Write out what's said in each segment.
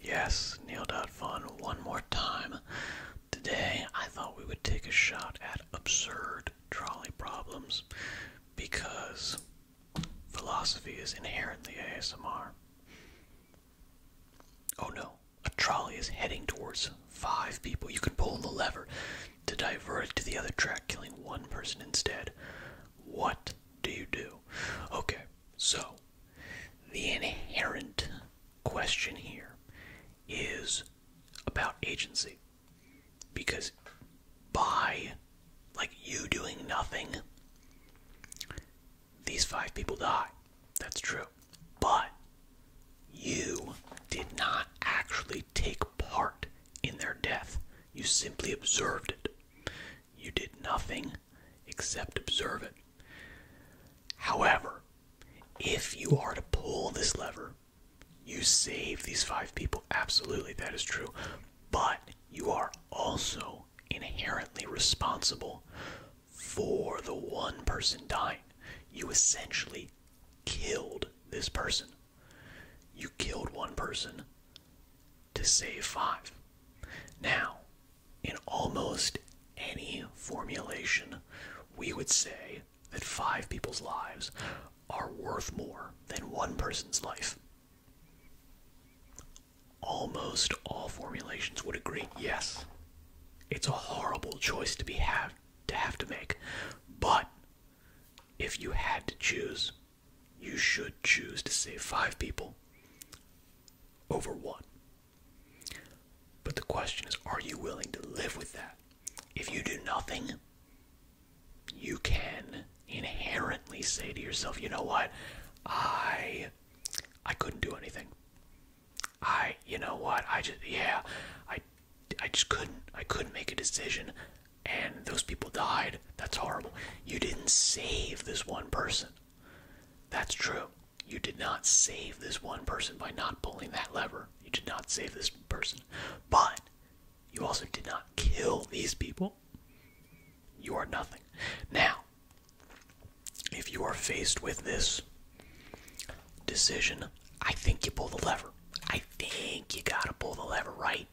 Yes, Neil.Fun one more time. Today I thought we would take a shot at absurd trolley problems because philosophy is inherently ASMR. Oh no, a trolley is heading towards five people. You can pull the lever to divert it to the other track, killing one person instead. What do you do? Okay, so the inherent question here is about agency. Because by like you doing nothing, these five people die. That's true. But you did not actually take part in their death. You simply observed it. You did nothing except observe it. However, if you are to pull this lever, you save these five people. Absolutely, that is true. But you are also inherently responsible for the one person dying. You essentially killed this person. You killed one person to save five. Now, in almost any formulation, we would say that five people's lives are worth more than one person's life. Almost all formulations would agree, yes, it's a horrible choice to be have to have to make, but if you had to choose, you should choose to save five people over what? But the question is, are you willing to live with that? If you do nothing, you can inherently say to yourself, you know what? I I couldn't do anything. I you know what? I just yeah, I I just couldn't I couldn't make a decision and those people died. That's horrible. You didn't save this one person. That's true. You did not save this one person by not pulling that lever. You did not save this person. But you also did not kill these people. You are nothing. Now, if you are faced with this decision, I think you pull the lever. I think you gotta pull the lever, right?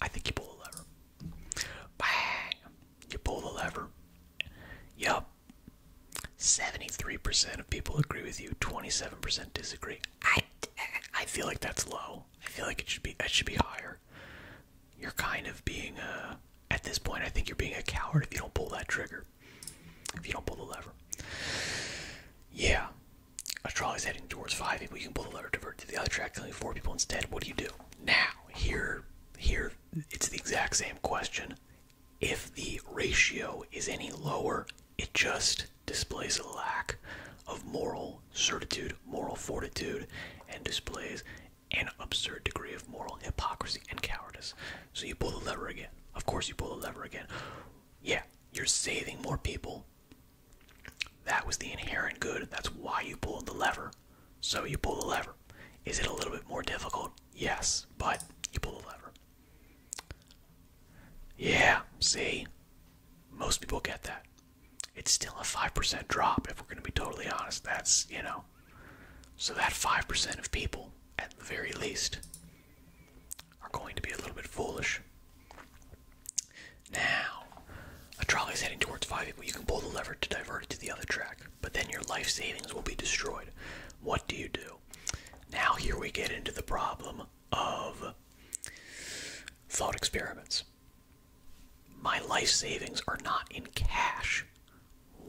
I think you pull the lever. Bang! You pull the lever. Yup. 73% of people agree with you, 27% disagree. I, I feel like that's low. I feel like it should be that should be higher. You're kind of being a, uh, at this point I think you're being a coward if you don't pull that trigger. If you don't pull the lever. Yeah. A trolley's heading towards five people, you can pull the lever divert to the other track, killing four people instead. What do you do? Now, here here it's the exact same question. If the ratio is any lower, it just displays a lack of moral certitude, moral fortitude, and displays an absurd degree of moral hypocrisy and cowardice. So you pull the lever again. Of course, you pull the lever again. Yeah, you're saving more people. That was the inherent good. That's why you pulled the lever. So you pull the lever. Is it a little bit more difficult? Yes, but you pull the lever. Yeah, see? Most people get that. It's still a 5% drop, if we're going to be totally honest. That's, you know. So that 5% of people, at the very least, are going to be a little bit foolish. Now, a trolley is heading towards five people. You can pull the lever to divert it to the other track, but then your life savings will be destroyed. What do you do? Now, here we get into the problem of thought experiments. My life savings are not in cash.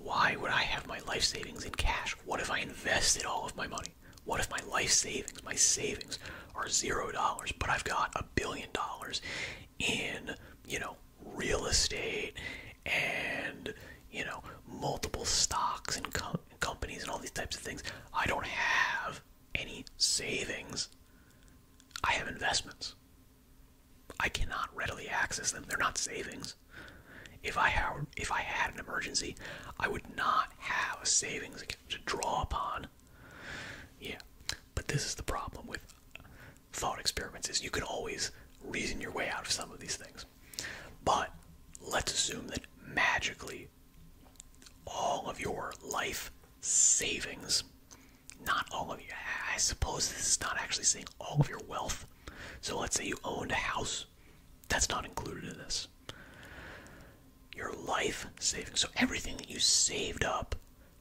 Why would I have my life savings in cash? What if I invested all of my money? What if my life savings, my savings, are zero dollars, but I've got a billion dollars in, you know, real estate and you know multiple stocks and companies and all these types of things i don't have any savings i have investments i cannot readily access them they're not savings if i had if i had an emergency i would not have a savings account to draw upon yeah but this is the problem with thought experiments is you can always reason your way out of some of these things. But let's assume that magically all of your life savings, not all of you, I suppose this is not actually saying all of your wealth. So let's say you owned a house, that's not included in this. Your life savings, so everything that you saved up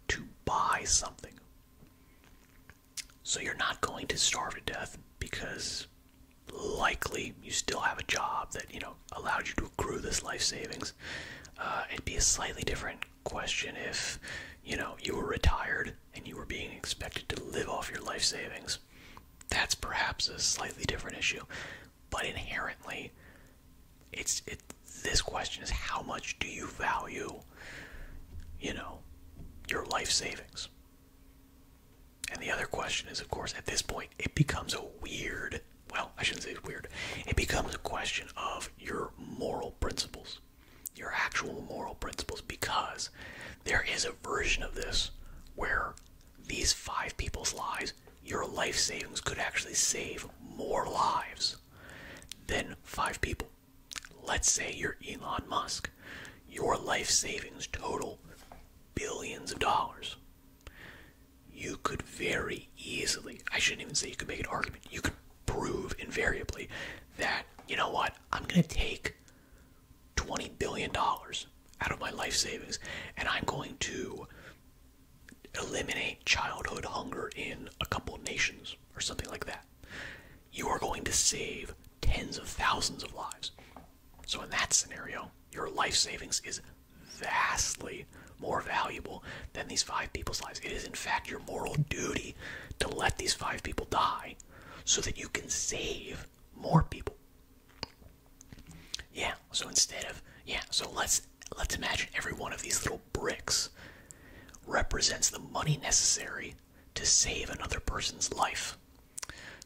to buy something so you're not going to starve to death because likely you still have a job that, you know, allowed you to accrue this life savings. Uh, it'd be a slightly different question if, you know, you were retired and you were being expected to live off your life savings. That's perhaps a slightly different issue. But inherently, it's it this question is how much do you value, you know, your life savings? And the other question is, of course, at this point, it becomes a weird, well, I shouldn't say it's weird, it becomes a question of your moral principles, your actual moral principles, because there is a version of this where these five people's lives, your life savings could actually save more lives than five people. Let's say you're Elon Musk. Your life savings total billions of dollars. You could very easily, I shouldn't even say you could make an argument, you could prove invariably that, you know what, I'm going to take $20 billion out of my life savings and I'm going to eliminate childhood hunger in a couple nations or something like that you are going to save tens of thousands of lives. So, in that scenario, your life savings is vastly more valuable than these five people's lives. It is, in fact, your moral duty to let these five people die so that you can save more people. Yeah, so instead of, yeah, so let's let's imagine every one of these little bricks represents the money necessary to save another person's life.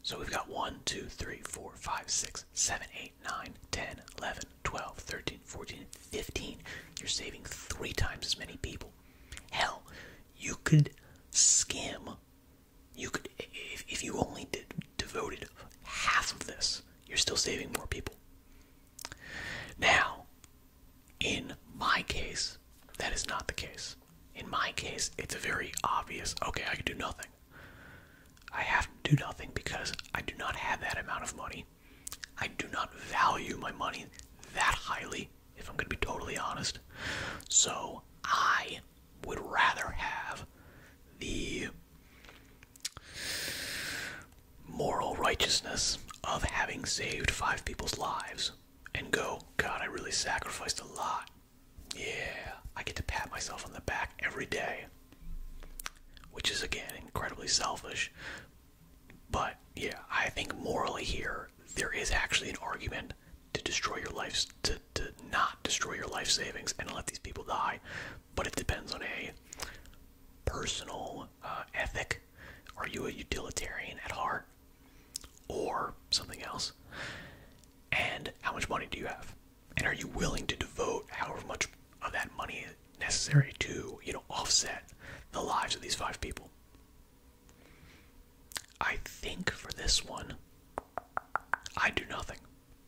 So we've got 1, 2, 3, 4, 5, 6, 7, 8, 9, 10, 11, 12, 13, 14, 15. You're saving three times as many people. Hell, you could skim. You could, if, you only devoted half of this, you're still saving more people. Now, in my case, that is not the case. In my case, it's very obvious okay, I can do nothing. I have to do nothing because I do not have that amount of money. I do not value my money that highly, if I'm going to be totally honest. So I would rather have the moral righteousness of having saved five people's lives and go, God, I really sacrificed a lot. Yeah, I get to pat myself on the back every day, which is again incredibly selfish. But yeah, I think morally here, there is actually an argument to destroy your lives to, to not destroy your life savings and let these people die. But it depends on a personal uh, ethic are you a utilitarian at heart or something else? And how much money do you have? And are you willing to devote however much of that money necessary to, you know, offset the lives of these five people? I think for this one, I do nothing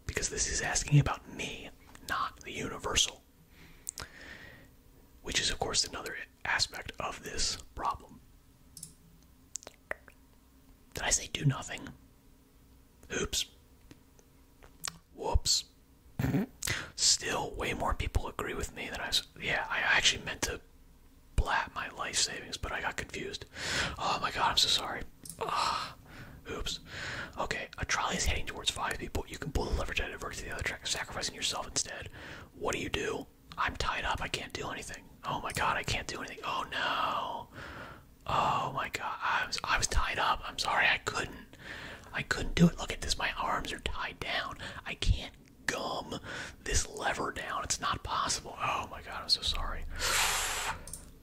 because this is asking about me, not the universal. Which is, of course, another aspect of this problem. Did I say do nothing? Oops. Whoops. Still, way more people agree with me than I Yeah, I actually meant to blat my life savings, but I got confused. Oh my god, I'm so sorry. Ugh. Ah, oops. Okay, a trolley is heading towards five people. So you can pull the leverage out of to the other track, sacrificing yourself instead. What do you do? I'm tied up. I can't do anything. Oh my god, I can't do anything. Oh no. Oh my god, I was I was tied up. I'm sorry, I couldn't. I couldn't do it. Look at this. My arms are tied down. I can't gum this lever down. It's not possible. Oh my god, I'm so sorry.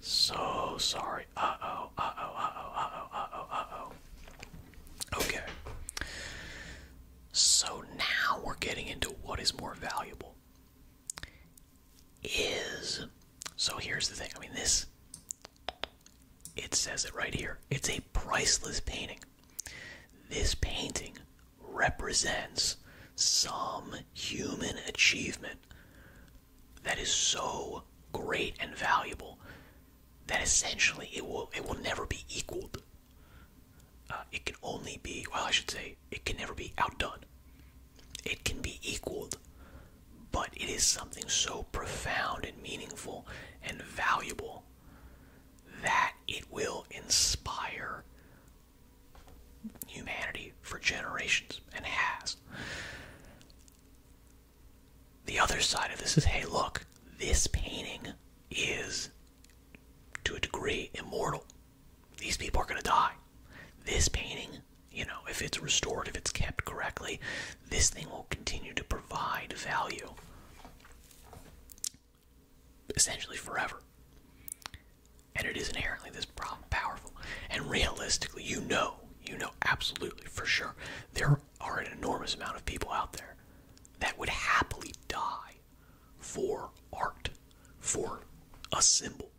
So sorry. Uh oh. Uh oh. Uh oh. Uh oh. Uh oh. Uh oh. Uh oh. Okay. So now we're getting into what is more valuable. Is so here's the thing. I mean this it says it right here. It's a priceless painting. This painting represents some human achievement that is so great and valuable that essentially it will it will never be equaled. Uh, it can only be well, I should say, it can never be outdone. It can be equaled, but it is something so profound and meaningful and valuable that it will inspire humanity for generations and has. The other side of this is hey, look, this painting is to a degree immortal. These people are going to die. This painting, you know, if it's restored, if it's kept correctly, this thing will continue to provide value essentially forever. And it is inherently this powerful. And realistically, you know, you know absolutely for sure, there are there are an enormous amount of people out there that would happily die for art, for a symbol.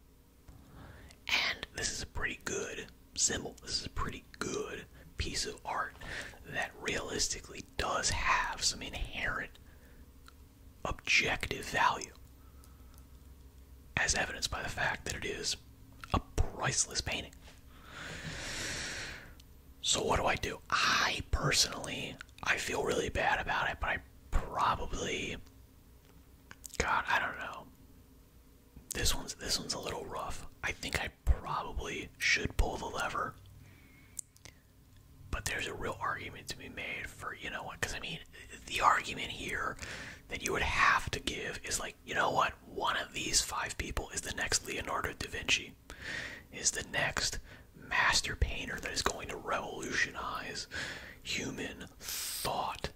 And this is a pretty good symbol. This is a pretty good piece of art that realistically does have some inherent objective value, as evidenced by the fact that it is a priceless painting. So what do I do? I personally, I feel really bad about it, but I probably God, I don't know. This one's this one's a little rough. I think I probably should pull the lever. But there's a real argument to be made for, you know what, because I mean, the argument here that you would have to give is like, you know what, one of these five people is the next Leonardo da Vinci is the next master painter that is going to revolutionize human thought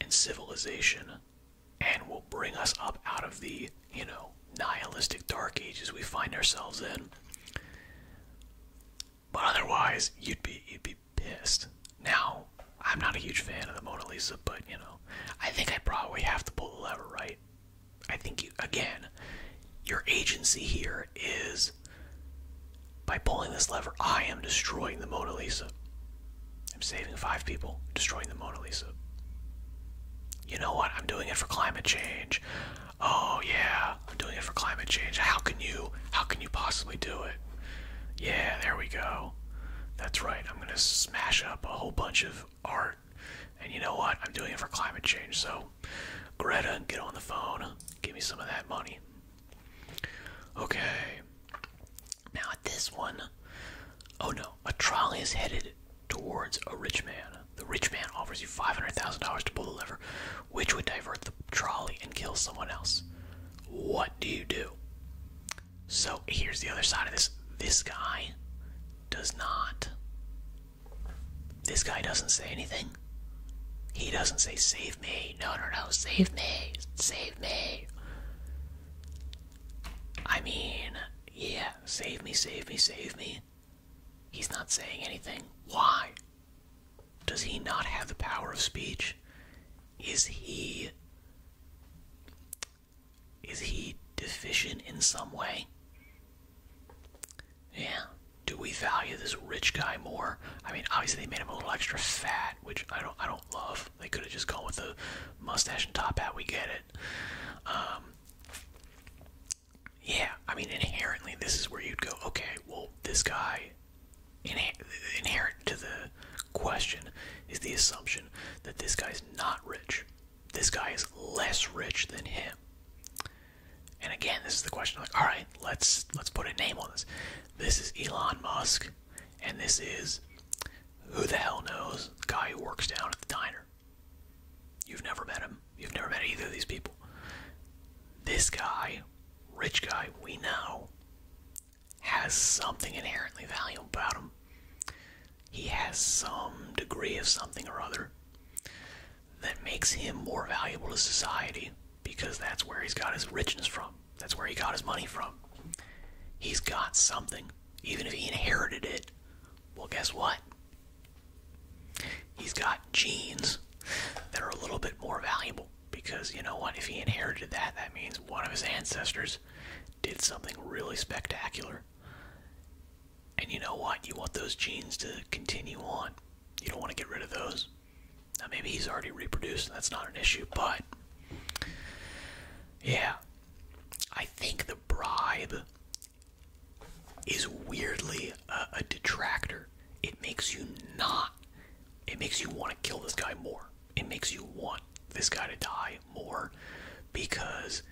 and civilization and will bring us up out of the, you know, nihilistic dark ages we find ourselves in. But otherwise, you'd be you'd be pissed. Now, I'm not a huge fan of the Mona Lisa, but you know, I think I probably have to pull the lever, right? I think again, your agency here is by pulling this lever, I am destroying the Mona Lisa. I'm saving five people, destroying the Mona Lisa. You know what? I'm doing it for climate change. Oh yeah, I'm doing it for climate change. How can you how can you possibly do it? Yeah, there we go. That's right. I'm going to smash up a whole bunch of art and you know what? I'm doing it for climate change. So, Greta, get on the phone. Give me some of that money. Okay. Now, at this one, oh no, a trolley is headed towards a rich man. The rich man offers you $500,000 to pull the lever, which would divert the trolley and kill someone else. What do you do? So here's the other side of this. This guy does not. This guy doesn't say anything. He doesn't say, save me. No, no, no, save me. Save me. I mean, yeah, save me, save me, save me. He's not saying anything. Why? Does he not have the power of speech? Is he is he deficient in some way? Yeah. Do we value this rich guy more? I mean, obviously they made him a little extra fat, which I don't, I don't love. They could have just gone with the mustache and top hat. We get it. Um, yeah, I mean, inherently, this is where you'd go. Okay, well, this guy inherent to the question is the assumption that this guy's not rich this guy is less rich than him. And again, this is the question like, all right, let's let's put a name on this. This is Elon Musk, and this is who the hell knows the guy who works down at the diner. You've never met him. You've never met either of these people. This guy, rich guy, we know, has something inherently valuable about him he has some degree of something or other that makes him more valuable to society because that's where he's got his richness from. That's where he got his money from. He's got something. Even if he inherited it, well, guess what? He's got genes that are a little bit more valuable because you know what? If he inherited that, that means one of his ancestors did something really spectacular and you know what? You want those genes to continue on. You don't want to get rid of those. Now, maybe he's already reproduced, and that's not an issue, but yeah. I think the bribe is weirdly a, a detractor. It makes you not, it makes you want to kill this guy more. It makes you want this guy to die more because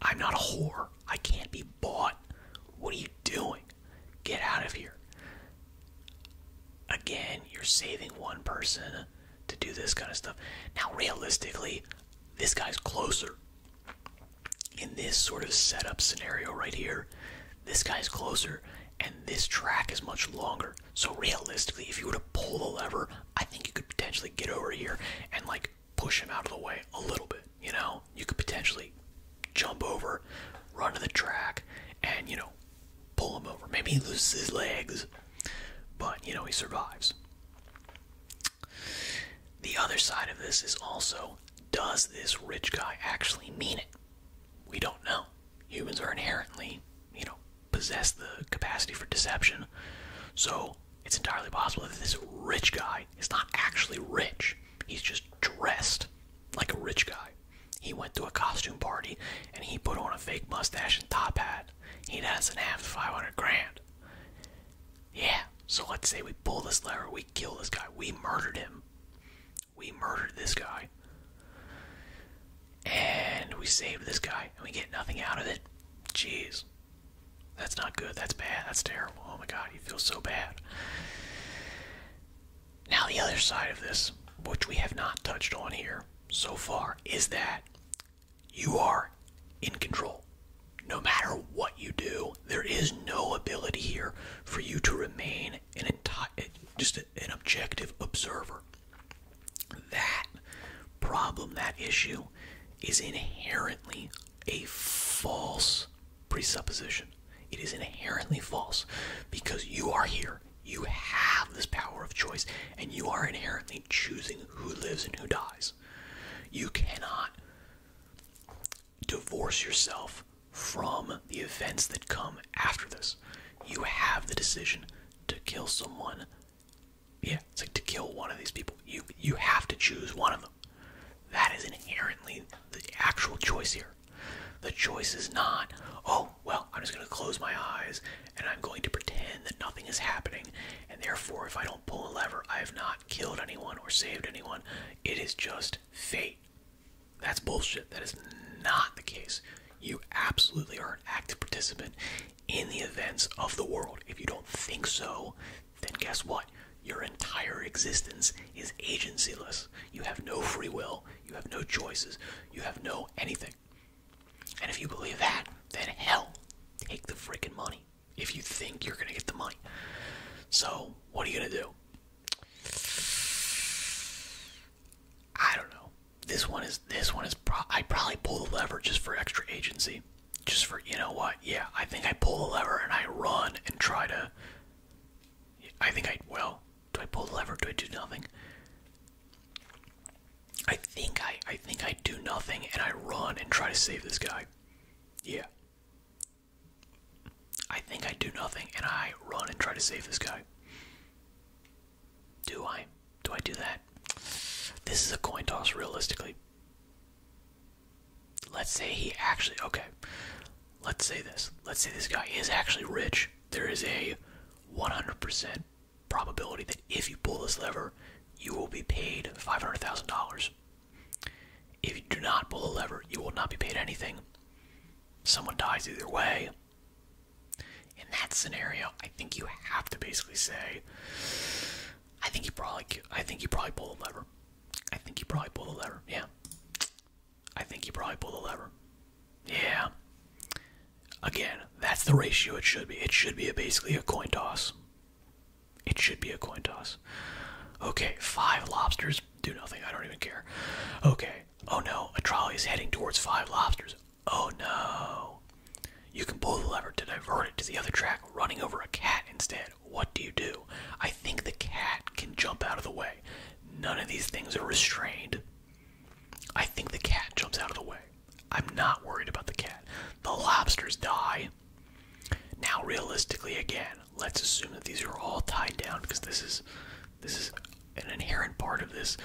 I'm not a whore. I can't be bought. What are you doing? Get out of here. Again, you're saving one person to do this kind of stuff. Now, realistically, this guy's closer. In this sort of setup scenario right here, this guy's closer and this track is much longer. So, realistically, if you were to pull the lever, I think you could potentially get over here and like push him out of the way a little bit. You know, you could potentially jump over, run to the track, and you know, pull him over. Maybe he loses his legs, but you know, he survives. The other side of this is also does this rich guy actually mean it? We don't know. Humans are inherently, you know, possess the capacity for deception. So it's entirely possible that this rich guy is not actually rich. He's just dressed like a rich guy. He went to a costume party and he put on a fake mustache and top hat. He doesn't have 500 grand. Yeah, so let's say we pull this lever, we kill this guy, we murdered him. We murdered this guy. And we saved this guy and we get nothing out of it. Jeez, that's not good. That's bad. That's terrible. Oh my god, you feel so bad. Now, the other side of this, which we have not touched on here so far, is that you are in control. No matter what you do, there is no ability here for you to remain an entire, just an objective observer. That problem, that issue, is inherently a false presupposition. It is inherently false because you are here. You have this power of choice, and you are inherently choosing who lives and who dies. You cannot divorce yourself from the events that come after this. You have the decision to kill someone yeah, it's like to kill one of these people, you you have to choose one of them. That is inherently the actual choice here. The choice is not, oh, well, I'm just going to close my eyes and I'm going to pretend that nothing is happening, and therefore, if I don't pull a lever, I have not killed anyone or saved anyone. It is just fate. That's bullshit. That is not the case. You absolutely are an active participant in the events of the world. If you don't think so, then guess what? Your entire existence is agencyless. You have no free will, you have no choices, you have no anything. And if you believe that, then hell, take the freaking money. If you think you're gonna get the money. So, what are you gonna do? I don't know. This one is this one is I probably pull the lever just for extra agency. Just for you know what? Yeah, I think I pull the lever and I run and try to I think I well, do I pull the lever? Do I do nothing? I think I I think I do nothing and I run and try to save this guy. Yeah. I think I do nothing and I run and try to save this guy. Do I? Do I do that? This is a coin toss, realistically. Let's say he actually. Okay. Let's say this. Let's say this guy is actually rich. There is a 100% probability that if you pull this lever, you will be paid $500,000. If you do not pull the lever, you will not be paid anything. Someone dies either way in that scenario, I think you have to basically say, I think you probably, I think you probably pull the lever. I think you probably pull the lever. Yeah. I think you probably pull the lever. Yeah. Again, that's the ratio it should be. It should be basically a coin toss. It should be a coin toss. Okay, five lobsters do nothing. I don't even care. Okay. Oh no, a trolley is heading towards five lobsters. Oh no. You can pull the lever to divert it to the other track, running over a cat instead. What do you do? I think the cat can jump out of the way. None of these things are restrained. I think the cat jumps out of the way. I'm not worried about the cat. The lobsters die. Now realistically again, let's assume that these are all tied down because this is this is an inherent part of this,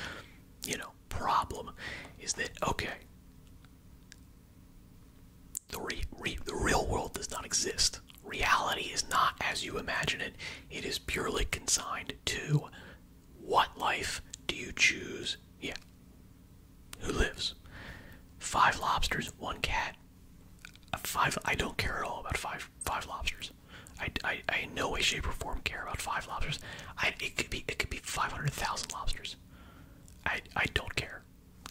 you know, problem is that okay the, real world does not exist reality is not as you imagine it it is purely consigned to what life do you choose yeah who lives five lobsters one cat five i don't care at all about five five lobsters I, I, I in no way, shape, or form care about five lobsters. I, it could be it could be five hundred thousand lobsters. I I don't care.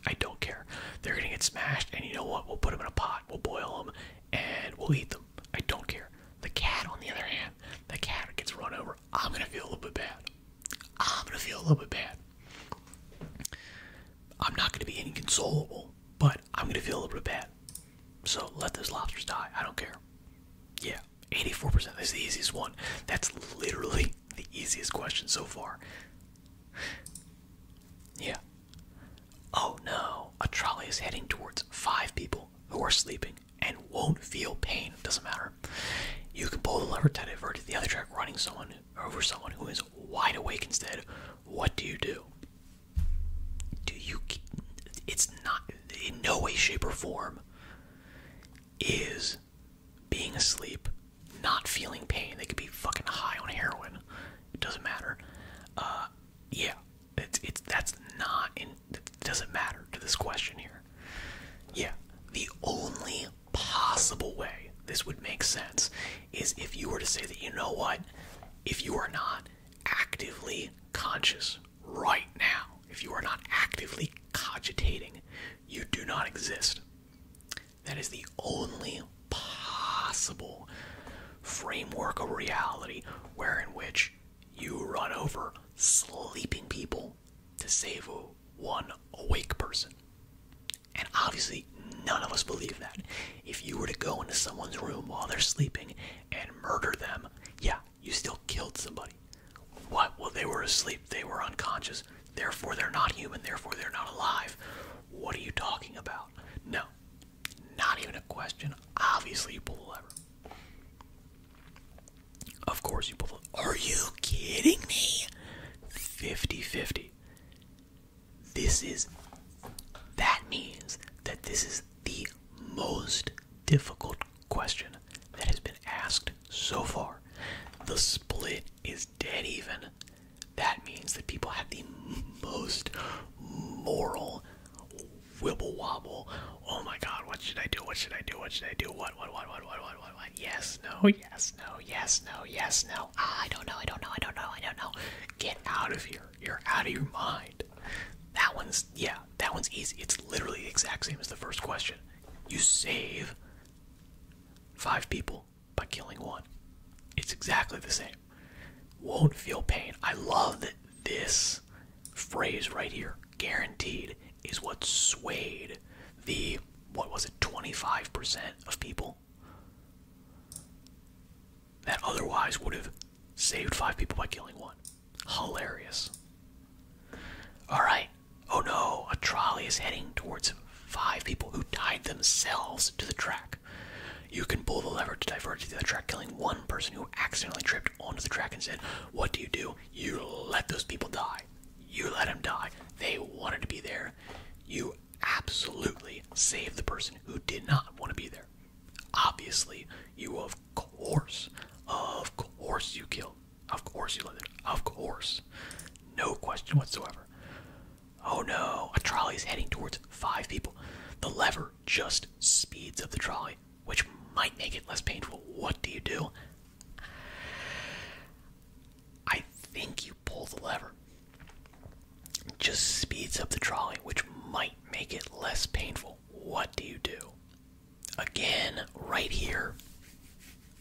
I don't care. They're gonna get smashed, and you know what? We'll put them in a pot. We'll boil them, and we'll eat them. I don't care. The cat, on the other hand, the cat gets run over. I'm gonna feel a little bit bad. I'm gonna feel a little bit bad. I'm not gonna be inconsolable, but I'm gonna feel a little bit bad. So let those lobsters die. I don't care. Yeah, 84% is the easiest one. That's literally the easiest question so far. Yeah. Oh no, a trolley is heading towards five people who are sleeping and won't feel pain. Doesn't matter. You can pull the lever to divert the other track, running someone over someone who is wide awake instead. What do you do? Do you. It's not. In no way, shape, or form is being asleep, not feeling pain. They could be fucking high on heroin. It doesn't matter. Uh, yeah, it's it's that's not in. It doesn't matter to this question here. Yeah, the only possible way this would make sense is if you were to say that you know what, if you are not actively conscious right now. If you are not actively cogitating, you do not exist. That is the only possible framework of reality wherein which you run over sleeping people to save one awake person. And obviously, none of us believe that. If you were to go into someone's room while they're sleeping and murder them, yeah, you still killed somebody. What? Well, they were asleep, they were unconscious, therefore they're not human, therefore they're not alive. What are you talking about? No, not even a question. Obviously, you pull the lever. Of course, you pull the Are you kidding me? 50 50. This is. That means that this is the most difficult question that has been asked so far. The split is dead even. That means that people have the most moral wibble wobble. Oh my god, what should I do? What should I do? What should I do? What, what, what, what, what, what, what, what? Yes, no, yes, no, yes, no, yes, no. Ah, I don't know, I don't know, I don't know, I don't know. Get out of here. You're out of your mind. That one's, yeah, that one's easy. It's literally the exact same as the first question you save five people by killing one. It's exactly the same. Won't feel pain. I love that this phrase right here, guaranteed, is what swayed the, what was it, 25% of people that otherwise would have saved five people by killing one. Hilarious. Alright. Oh no, a trolley is heading towards five people who tied themselves to the track. You can pull the lever to divert to the track, killing one person who accidentally tripped onto the track And said, What do you do? You let those people die. You let them die. They wanted to be there. You absolutely save the person who did not want to be there. Obviously, you of course, of course you kill of course you live it. Of course. No question whatsoever. Oh no, a trolley is heading towards five people. The lever just speeds up the trolley, which might make it less painful. What do you do? I think you pull the lever. just speeds up the trolley, which might make it less painful what do you do? Again, right here,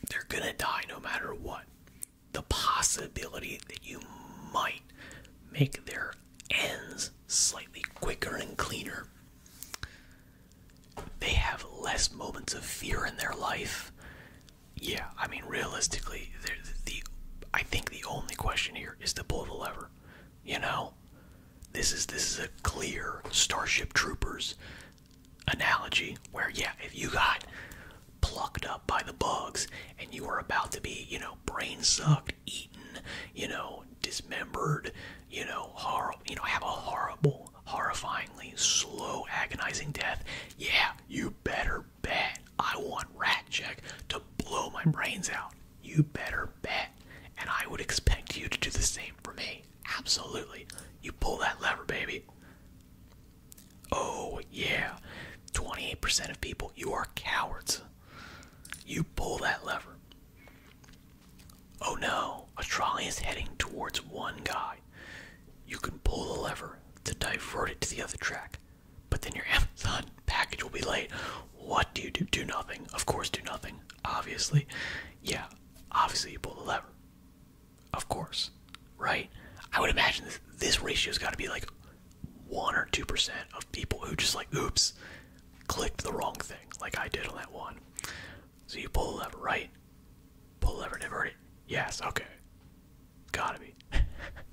they're gonna die no matter what. The possibility that you might make their ends slightly quicker and cleaner. They have less moments of fear in their life. Yeah, I mean, realistically, the, I think the only question here is to pull the lever. You know, this is this is a clear Starship Troopers analogy where, yeah, if you got plucked up by the bugs and you were about to be, you know, brain sucked, eaten, you know, dismembered, you know, horrible, you know, have a horrible, horrifyingly slow, agonizing death, yeah, you better bet I want Rat Jack to blow my brains out. You better bet. And I would expect you to do the same for me. Absolutely. You pull that lever, baby. Oh, yeah. 28% of people, you are cowards. You pull that lever. Oh no, a trolley is heading towards one guy. You can pull the lever to divert it to the other track, but then your Amazon package will be late. What do you do? Do nothing. Of course, do nothing. Obviously. Yeah, obviously you pull the lever. Of course, right? I would imagine this, this ratio's got to be like one or two percent of people who just like, oops, clicked the wrong thing, like I did on that one. So you pull the lever, right? Pull the lever, divert it. Yes, okay. Gotta be.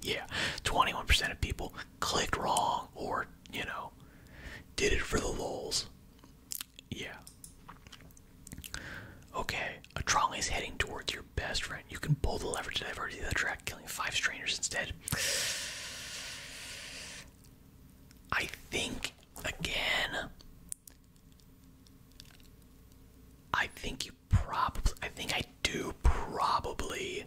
yeah, 21% of people clicked wrong or, you know, did it for the lulz. Yeah. Okay, a trolley is heading towards your best friend. You can pull the lever to divert the track, killing five strangers instead. I think, again, I think you probably, I think I do probably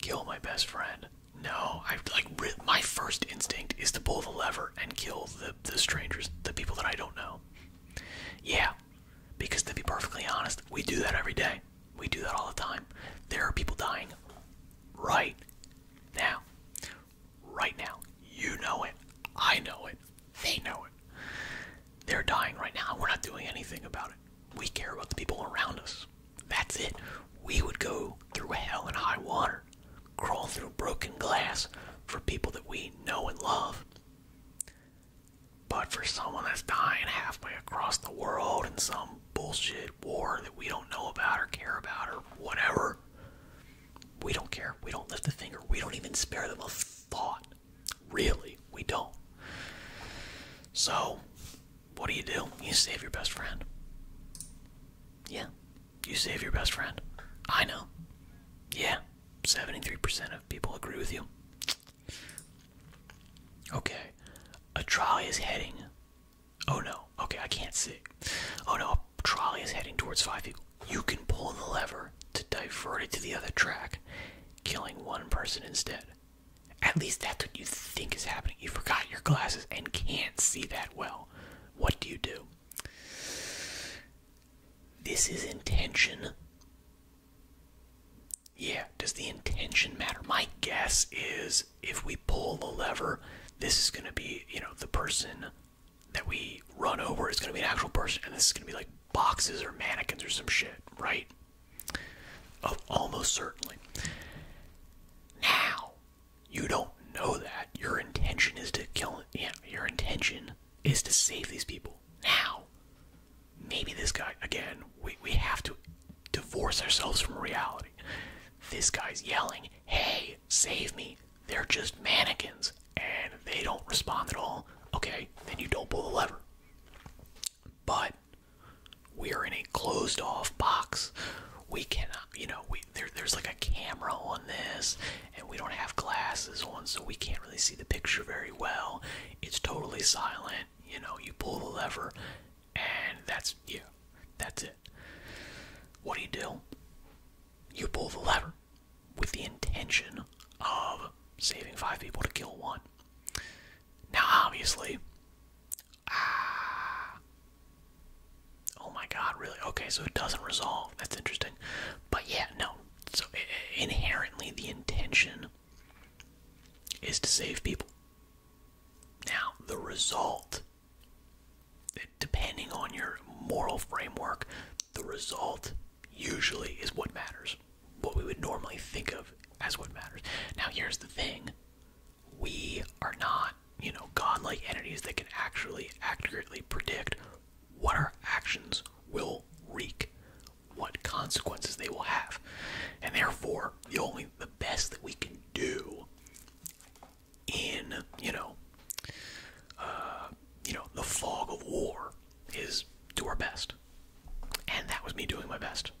kill my best friend. No, I like my first instinct is to pull the lever and kill the the strangers, the people that I don't know. Yeah, because to be perfectly honest, we do that every day. We do that all the time. There are people dying right now. Right now. You know it. I know it. They know it. They're dying right now. We're not doing anything about it. We care about the people around us. That's it. We would go through hell and high water crawl through broken glass for people that we know and love. But for someone that's dying halfway across the world in some bullshit war that we don't know about or care about or whatever, we don't care. We don't lift a finger. We don't even spare them a thought. Really, we don't. So, what do you do? You save your best friend. Yeah, you save your best friend. I know. Yeah, 73% of people agree with you. Okay, a trolley is heading. Oh no, okay, I can't see. Oh no, a trolley is heading towards five people. You can pull the lever to divert it to the other track, killing one person instead. At least that's what you think is happening. You forgot your glasses and can't see that well what do you do? This is intention. Yeah, does the intention matter? My guess is if we pull the lever, this is going to be, you know, the person that we run over is going to be an actual person, and this is going to be like boxes or mannequins or some shit, right? Oh, almost certainly. Now, you don't know that. Your intention is to kill yeah, your intention is to save these people. Now, maybe this guy again, we we have to divorce ourselves from reality. This guy's yelling, "Hey, save me. They're just mannequins." And they don't respond at all. Okay, then you don't pull the lever. But we are in a closed off box we cannot, you know, we there, there's like a camera on this, and we don't have glasses on, so we can't really see the picture very well. It's totally silent, you know, you pull the lever, and that's, yeah, that's it. What do you do? You pull the lever with the intention of saving five people to kill one. Now, obviously, ah, Oh my god, really? Okay, so it doesn't resolve. That's interesting. But yeah, no. So inherently, the intention is to save people. Now, the result, depending on your moral framework, the result usually is what matters. What we would normally think of as what matters. Now, here's the thing we are not, you know, godlike entities that can actually accurately predict what our actions will wreak, what consequences they will have. And therefore, the only the best that we can do in, you know, uh, you know, the fog of war is do our best. And that was me doing my best.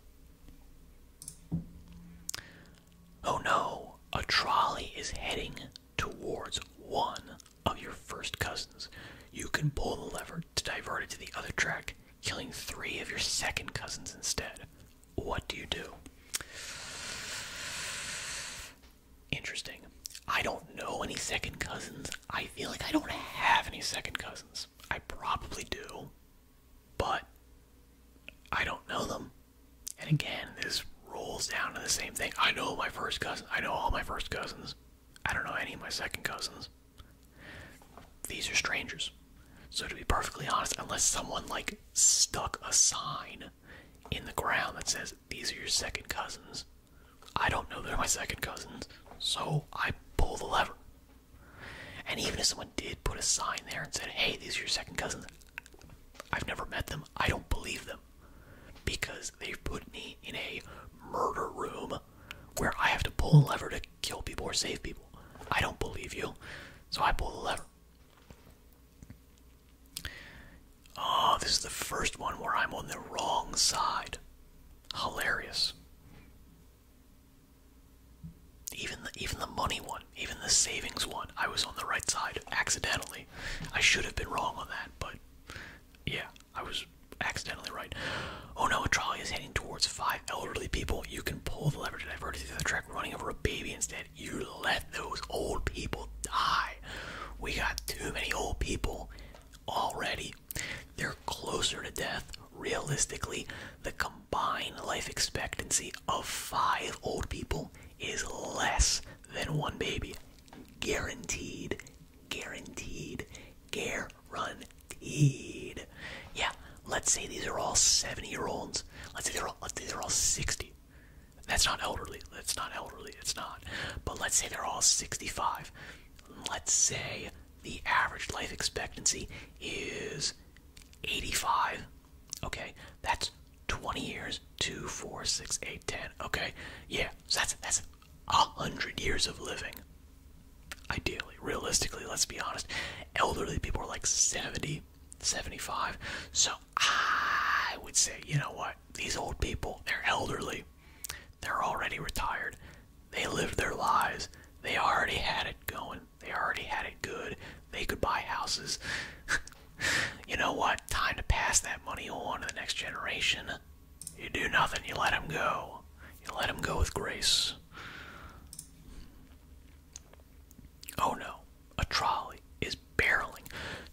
Oh no, a trolley is heading towards one of your first cousins. You can pull the lever to divert it to the other track, killing three of your second cousins instead. What do you do? Interesting. I don't know any second cousins. I feel like I don't have any second cousins. I probably do, but I don't know them. And again, this rolls down to the same thing. I know my first cousin. I know all my first cousins. I don't know any of my second cousins. These are strangers. So to be perfectly honest, unless someone like stuck a sign in the ground that says these are your second cousins, I don't know they're my second cousins. So I pull the lever. And even if someone did put a sign there and said, "Hey, these are your second cousins," I've never met them. I don't believe them because they've put me in a murder room where I have to pull a lever to kill people or save people. I don't believe you, so I pull the lever. Oh, this is the first one where I'm on the wrong side. Hilarious. Even the even the money one even the savings one, I was on the right side accidentally. I should have been wrong on that, but yeah, I was accidentally right. Oh no, a trolley is heading towards five elderly people. You can pull the lever to divert it to the track running over a baby instead. You let those old people die. We got too many old people already. They're closer to death. Realistically, the combined life expectancy of five old people is less than one baby. Guaranteed. Guaranteed. Guaranteed. Yeah, let's say these are all 70 year olds. Let's say they're all, let are all 60. That's not elderly. That's not elderly. It's not. But let's say they're all 65. Let's say the average life expectancy is 85. Okay, that's 20 years, 2, 4, 6, 8, 10. Okay, yeah, so that's that's a hundred years of living. Ideally, realistically, let's be honest. Elderly people are like 70, 75. So I would say, you know what? These old people, they're elderly. They're already retired. They lived their lives. They already had it going. They already had it good. They could buy houses. you know what? Time to pass that money on to the next generation. You do nothing. You let them go. You let them go with grace. Oh no. A trolley is barreling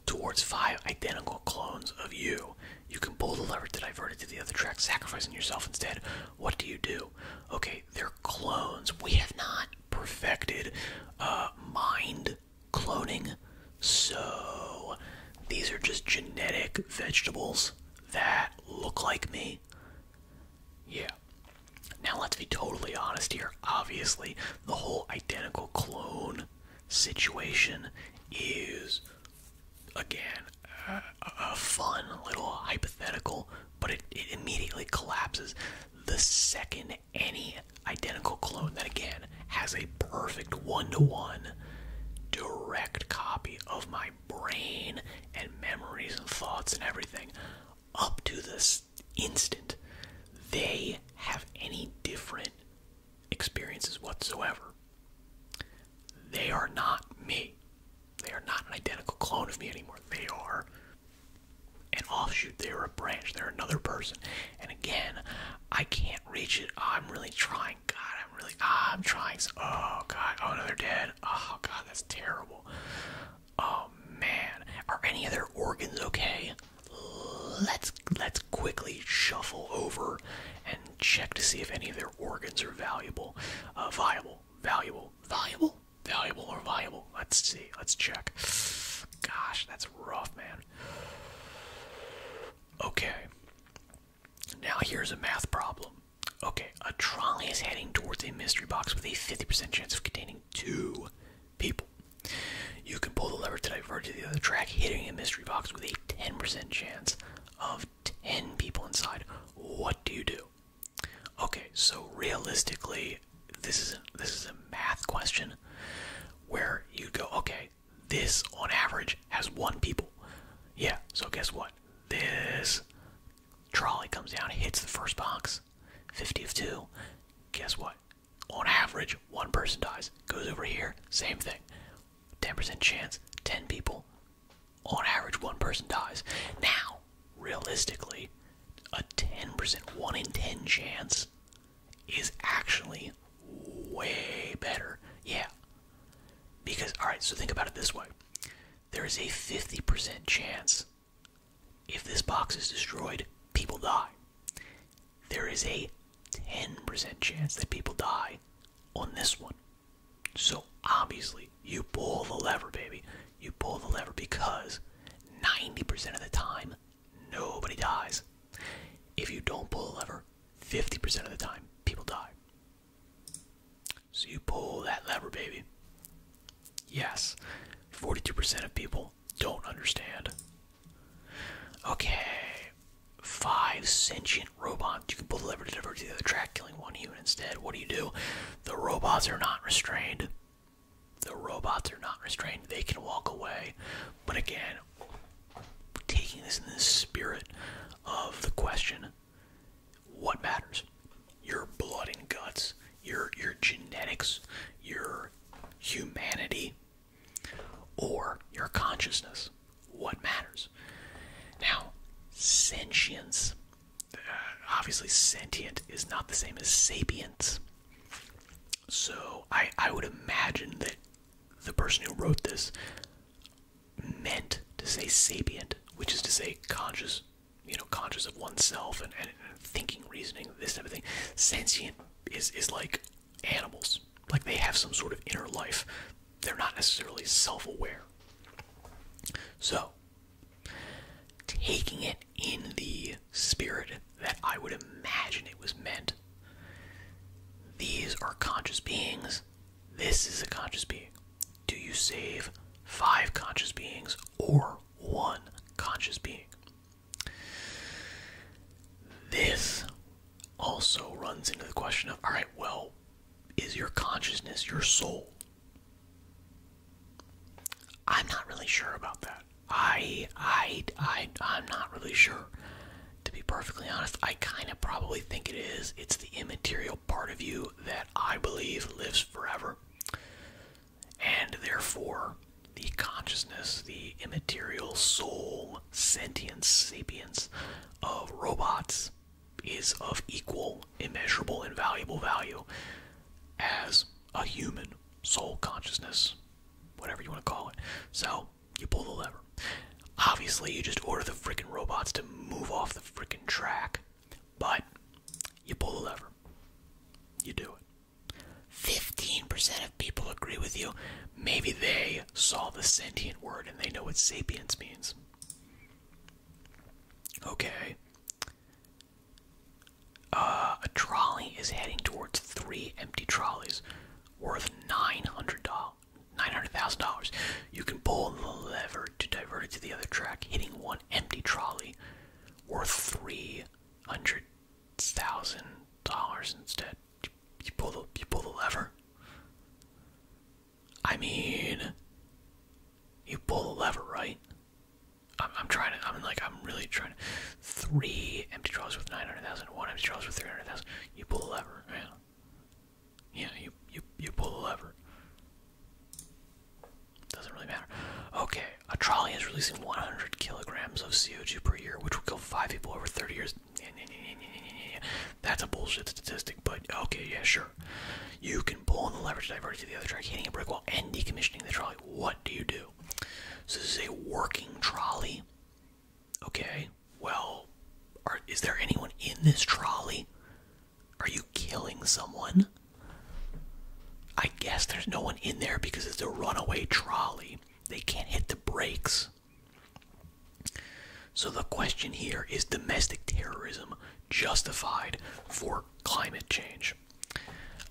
towards five identical clones of you. You can pull the lever to divert it to the other track, sacrificing yourself instead. What do you do? Okay, they're clones. We have not perfected uh, mind cloning. So these are just genetic vegetables that look like me. Yeah. Now let's be totally honest here. Obviously, the whole identical clone situation is again a, a fun little hypothetical, but it, it immediately collapses the second any identical clone that again has a perfect one-to-one direct copy of my brain and memories and thoughts and everything up to this instant they have any different experiences whatsoever they are not me they are not an identical clone of me anymore they are an offshoot, they're a branch, they're another person. And again, I can't reach it. I'm really trying. God, I'm really, I'm trying. Oh, God. Oh, no, they're dead. Oh, God, that's terrible. Oh, man. Are any other organs okay? Let's let's quickly shuffle over and check to see if any of their organs are valuable, uh, viable, valuable, viable. Valuable or valuable? Let's see. Let's check. Gosh, that's rough, man. Okay. Now here's a math problem. Okay, a trolley is heading towards a mystery box with a 50% chance of containing two people. You can pull the lever to divert to the other track, hitting a mystery box with a 10% chance of 10 people inside. What do you do? Okay, so realistically, this is a, this is a math question where you go, okay, this on average has one people. Yeah, so guess what? This trolley comes down, hits the first box, 50 of two. Guess what? On average, one person dies. Goes over here, same thing. 10% chance, 10 people. On average, one person dies. Now, realistically, a 10%, 1 in 10 chance is actually way better. Yeah. Because, alright, so think about it this way there is a 50% chance if this box is destroyed, people die. There is a 10% chance that people die on this one. So obviously, you pull the lever, baby. You pull the lever because 90% of the time, nobody dies. If you don't pull a lever, 50% of the time, people die. So you pull that lever, baby. Yes, 42% of people don't understand. Okay, five sentient robots. You can pull the lever to divert to the other track, killing one human instead. What do you do? The robots are not restrained. The robots are not restrained, they can walk away. But again, taking this in the spirit of the question what matters? Your blood and guts, your, your genetics, your humanity, or your consciousness? What matters? Now, sentience. Uh, obviously, sentient is not the same as sapience. So I I would imagine that the person who wrote this meant to say sapient, which is to say conscious, you know, conscious of oneself and, thinking, reasoning, this type of thing. Sentient is is like animals. Like they have some sort of inner life. They're not necessarily self-aware. So taking it in the spirit that I would imagine it was meant. These are conscious beings. This is a conscious being. Do you save five conscious beings or one conscious being? This also runs into the question of all right, well, is your consciousness your soul? I'm not really sure about that. I I I I'm not really sure. To be perfectly honest, I kind of probably think it is. It's the immaterial part of you that I believe lives forever. And therefore, the consciousness, the immaterial soul, sentience, sapience of robots is of equal, immeasurable, invaluable value as a human soul consciousness, whatever you want to call it. So you pull the lever. Obviously, you just order the freaking robots to move off the freaking track, but you pull the lever. You do it. 15% of people agree with you. Maybe they saw the sentient word and they know what sapience means. Okay. Uh, a trolley is heading towards three empty trolleys worth $900,000. $900, you can pull the lever to divert it to the other track, hitting one empty trolley worth $300,000 instead. You pull, the, you pull the lever. I mean, you pull the lever, right? I'm, trying to. I'm like. I'm really trying. To, three empty trolleys with nine hundred thousand. One empty draws with three hundred thousand. You pull the lever. Yeah. Yeah. You you you pull a lever. Doesn't really matter. Okay. A trolley is releasing one hundred kilograms of CO2 per year, which will kill five people over thirty years. That's a bullshit statistic, but okay, yeah, sure. You can pull on the lever to divert it to the other track, hitting a brick wall, and decommissioning the trolley. What do you do? So this is a working trolley. Okay, well, is there anyone in this trolley? Are you killing someone? I guess there's no one in there because it's a runaway trolley. They can't hit the brakes. So the question here is domestic terrorism justified for climate change?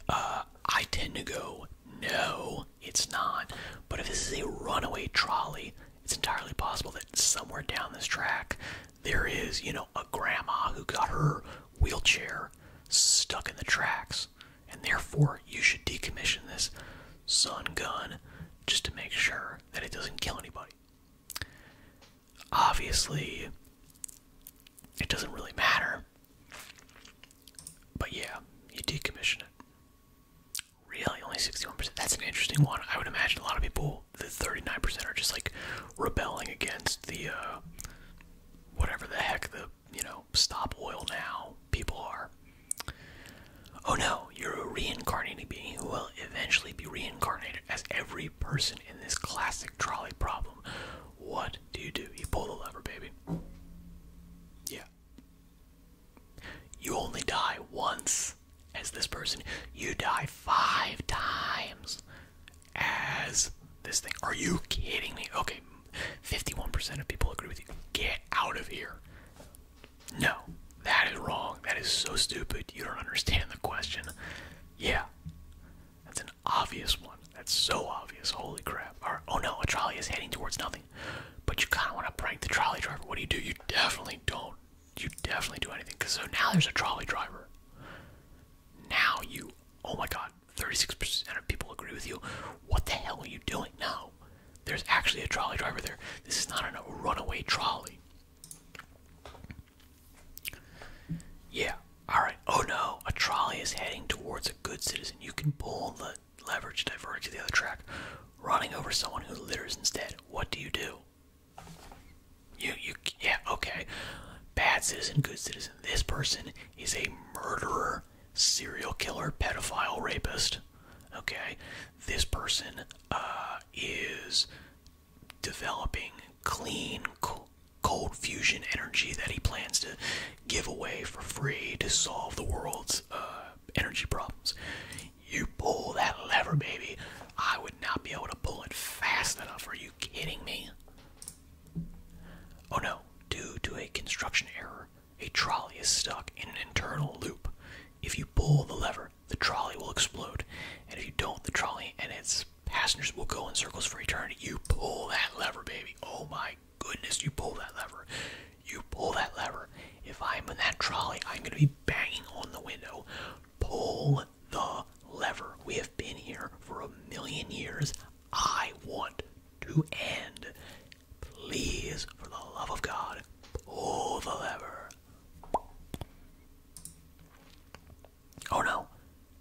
Uh, I tend to go, no, it's not. But if this is a runaway trolley, it's entirely possible that somewhere down this track there is, you know, a grandma who got her wheelchair stuck in the tracks. And therefore, you should decommission this sun gun just to make sure that it doesn't kill anybody. Obviously, it doesn't really matter. But yeah, you decommission it. Really, only 61%. That's an interesting one. I would imagine a lot of people, the 39%, are just like rebelling against the uh, whatever the heck the, you know, stop oil now people are. Oh no, you're a reincarnating being who will eventually be reincarnated as every person in this classic trolley problem what do you do? You pull the lever, baby. Yeah. You only die once as this person. You die five times as this thing. Are you kidding me? Okay, 51% of people agree with you. Get out of here. No, that is wrong. That is so stupid. You don't understand the question. Yeah obvious one. That's so obvious. Holy crap. oh no, a trolley is heading towards nothing. But you kinda wanna break the trolley driver. What do you do? You definitely don't. You definitely do anything. Cause so now there's a trolley driver. Now you oh my god, 36% of people agree with you. What the hell are you doing now? There's actually a trolley driver there. This is not a runaway trolley. Yeah. Alright. Oh no. A trolley is heading towards a good citizen. You can pull the leverage to divert to the other track. Running over someone who litters instead. What do you do? You, you, yeah, okay. Bad citizen, good citizen. This person is a murderer, serial killer, pedophile, rapist. Okay. This person uh, is developing clean, cold fusion energy that he plans to give away for free to solve the world's uh, energy problems. You pull that lever, baby. I would not be able to pull it fast enough. Are you kidding me? Oh no, due to a construction error, a trolley is stuck in an internal loop. If you pull the lever, the trolley will explode, and if you don't, the trolley and its Passengers will go in circles for eternity. You pull that lever, baby. Oh my goodness, you pull that lever. You pull that lever. If I'm in that trolley, I'm going to be banging on the window. Pull the lever. We have been here for a million years. I want to end. Please, for the love of God, pull the lever. Oh no,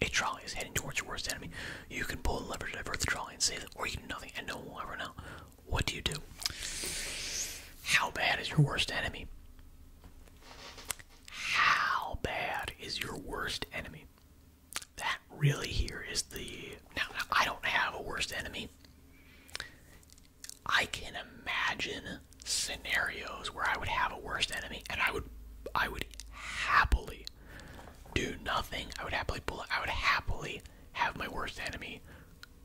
a trolley is heading towards your worst enemy. You can pull the lever to divert the trolley and save it, or you can do nothing and no one will ever know. What do you do? How bad is your worst enemy? How bad is your worst enemy? That really here is the. now I don't have a worst enemy. I can imagine scenarios where I would have a worst enemy, and I would, I would happily do nothing. I would happily I would happily have my worst enemy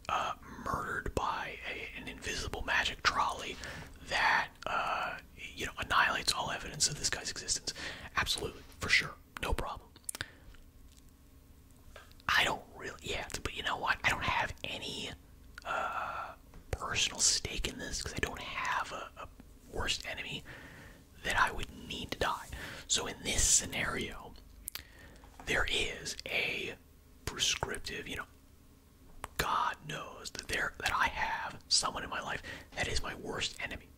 uh, murdered by an invisible magic trolley that uh, you know annihilates all evidence of this guy's existence. Absolutely, for sure, no problem. I don't really, yeah, but you know what? I don't have any uh, personal stake in this because I don't have a worst enemy that I would need to die. So in this scenario, there is a prescriptive, you know, God knows that there that I have someone in my life that is my worst enemy.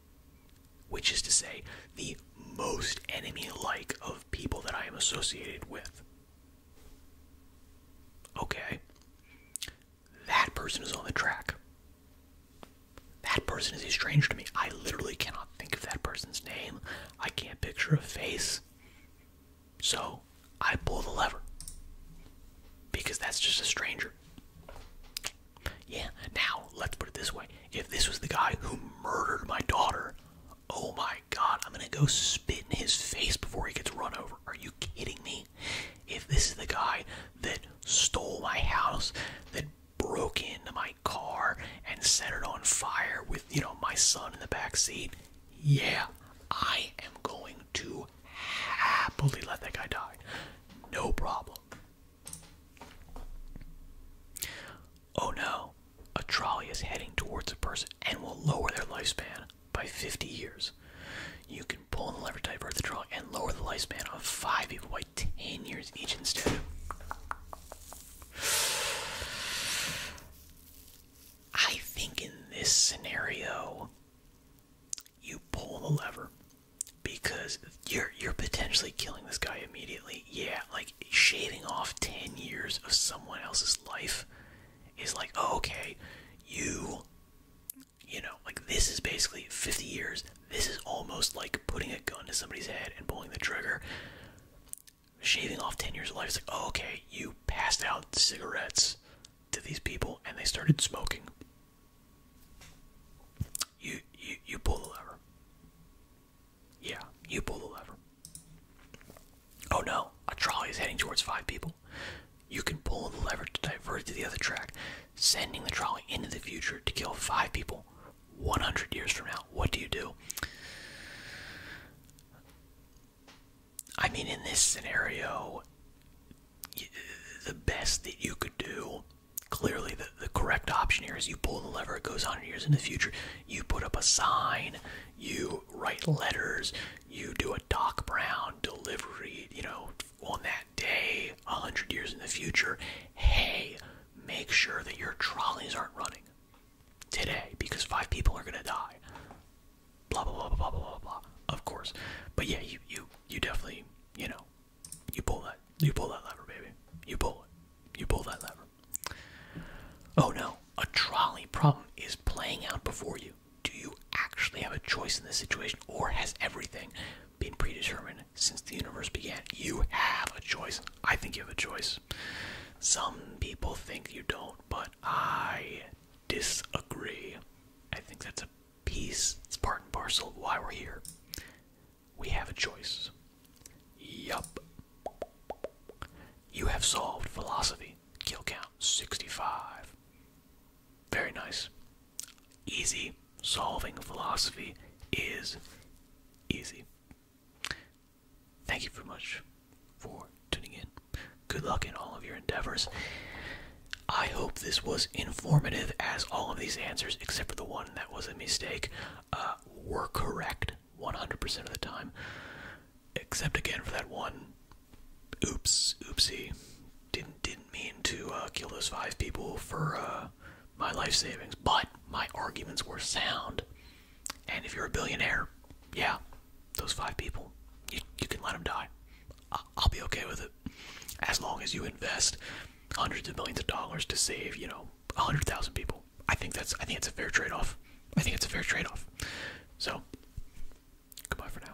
Which is to say, the most enemy-like of people that I am associated with. Okay. That person is on the track. That person is a stranger to me. I literally cannot think of that person's name. I can't picture a face. So I pull the lever. Because that's just a stranger. Yeah, now, let's put it this way. If this was the guy who murdered my daughter, oh my god, I'm gonna go spit in his face before he gets run over. Are you kidding me? If this is the guy that stole my house, that broke into my car and set it on fire with, you know, my son in the back seat, yeah, I am going to happily let that guy die. No problem. Oh no, a trolley is heading towards a person and will lower their lifespan by 50 years. You can pull the lever to or the draw and lower the lifespan of five people by 10 years each instead. I think in this scenario, you pull the lever because you're you're potentially killing this guy immediately. Yeah, like shaving off 10 years of someone else's life is like, oh, okay, you you know, like this is basically 50 years. This is almost like putting a gun to somebody's head and pulling the trigger. Shaving off 10 years of life It's like, oh, okay, you passed out cigarettes to these people and they started smoking. You, you, you pull the lever. Yeah, you pull the lever. Oh no, a trolley is heading towards five people. You can pull the lever to divert it to the other track, sending the trolley into the future to kill five people 100 years from now. What do you do? I mean, in this scenario, the best that you could do, clearly the, the correct option here is you pull the lever, it goes 100 years in the future, you put up a sign, you write letters, you do a Doc Brown delivery, you know, on that day, a hundred years in the future, hey, make sure that your trolleys aren't running today because five people are gonna die. Blah blah blah blah blah blah blah. Of course, but yeah, you you you definitely you know you pull that you pull that lever, baby. You pull it. You pull that lever. Oh no, a trolley problem is playing out before you do you actually have a choice in this situation, or has everything been predetermined since the universe began? You have a choice. I think you have a choice. Some people think you don't, but I disagree. I think that's a piece, it's part and parcel of why we're here. We have a choice. Yup. You have solved philosophy. Kill count 65. Very nice. Easy solving philosophy is easy. Thank you very much for tuning in. Good luck in all of your endeavors. I hope this was informative, as all of these answers, except for the one that was a mistake, uh, were correct 100% of the time. Except again for that one oops, oopsie didn't didn't mean to uh, kill those five people for uh, my life savings, but my arguments were sound. And if you're a billionaire, yeah, those five people, you, you can let them die. I, I'll be okay with it, as long as you invest hundreds of millions of dollars to save, you know, a hundred thousand people. I think that's I think it's a fair trade-off. I think it's a fair trade-off. So, goodbye for now.